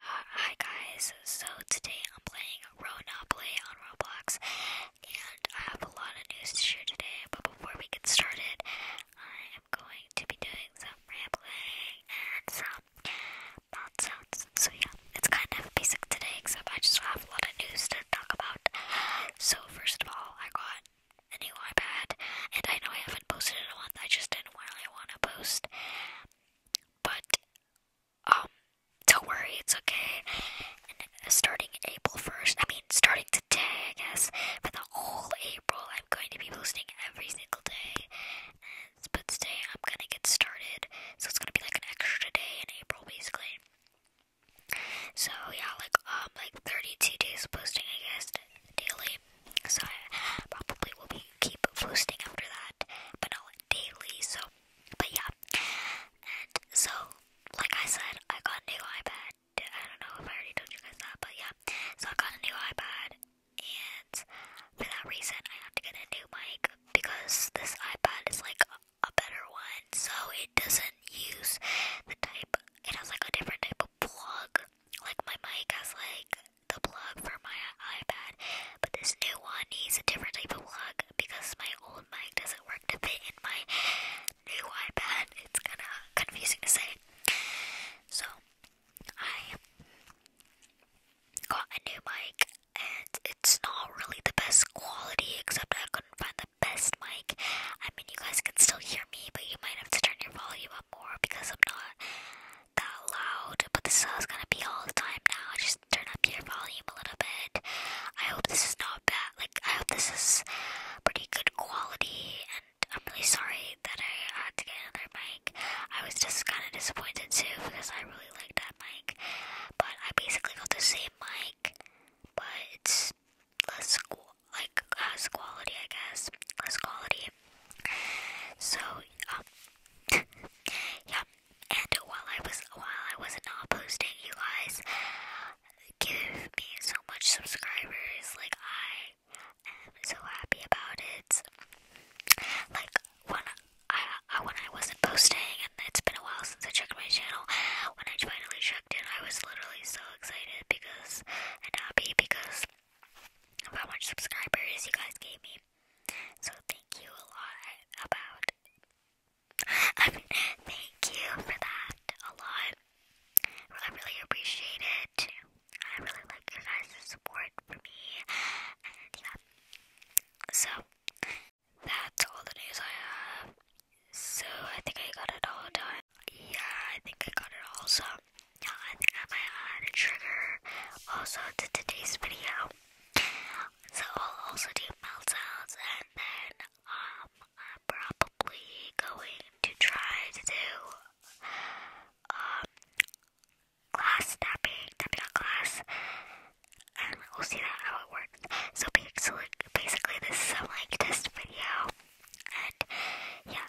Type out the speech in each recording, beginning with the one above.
Hi guys, so today I'm playing Ronopoly on Roblox, and I have a lot of news to share today, but before we get started, I am going to be doing some rambling and some mouth sounds, so yeah, it's kind of basic today, except I just have a lot of news to talk about. So first of all, I got a new iPad, and I know I haven't posted in a month, I just didn't really want to post, but um, don't worry, it's okay. Uh, starting April first, I mean, starting today, I guess, for the whole April, I'm going to be posting every single day. And, but today, I'm gonna get started, so it's gonna be like an extra day in April, basically. So yeah, like um, like 32 days posting, I guess, daily. So I probably will be keep posting after that, but not like daily. So, but yeah, and so like I said, I got a new iPad. I don't know if I already told you guys that, but yeah, so I got a new iPad, and for that reason, I had to get a new mic because this iPad is like a better one, so it doesn't use the type. It has like a different type of plug. Like my mic has like the plug for my iPad, but this new one needs a different type of plug because my old mic doesn't work to fit in my new iPad. It's kind of confusing to say. So, I got a new mic, and it's not really the best quality, except I couldn't find the best mic. I mean, you guys can still hear me, but you might have to turn your volume up more because I'm not that loud, but this is gonna be all the time now. Just turn up your volume a little bit. I hope this is not bad. Like I hope this is pretty good quality. And I'm really sorry that I had to get another mic. I was just kind of disappointed too because I really liked that mic. But I basically got the same mic, but it's less quality, I guess. Less quality. So, um, yeah. And while I was while I was not posting, you guys give me so much subscribers. Like I am so happy about it. Like when I, I when I wasn't posting, and it's been a while since I checked my channel. When I finally checked it, I was literally so excited because and happy because of how subscribers you guys gave me. So thank you a lot about I mean thank you for that a lot. I really appreciate it. I really like your guys' support for me. So that's all the news I have. So I think I got it all done. Yeah, I think I got it also. Yeah, I think I might add a trigger also to today's video. So I'll also do meltdowns, and then um I'm probably going to try to do um glass tapping, tapping a glass. And we'll see that how it works. So basically, basically this is some like test video. And yeah,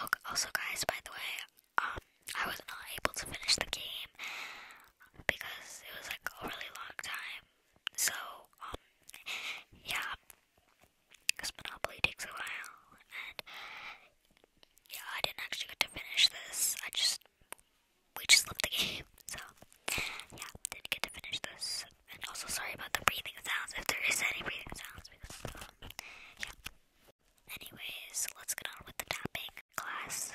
Oh, also, guys, by the way, um, I was not able to finish the game because it was like a really long time. So, um, yeah, because Monopoly takes a while, and yeah, I didn't actually get to finish this. I just we just left the game, so yeah, didn't get to finish this. And also sorry about the breathing sounds, if there is any breathing sounds, um, yeah. Anyways, let's get on with the tapping class.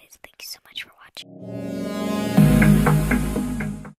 Guys, thank you so much for watching.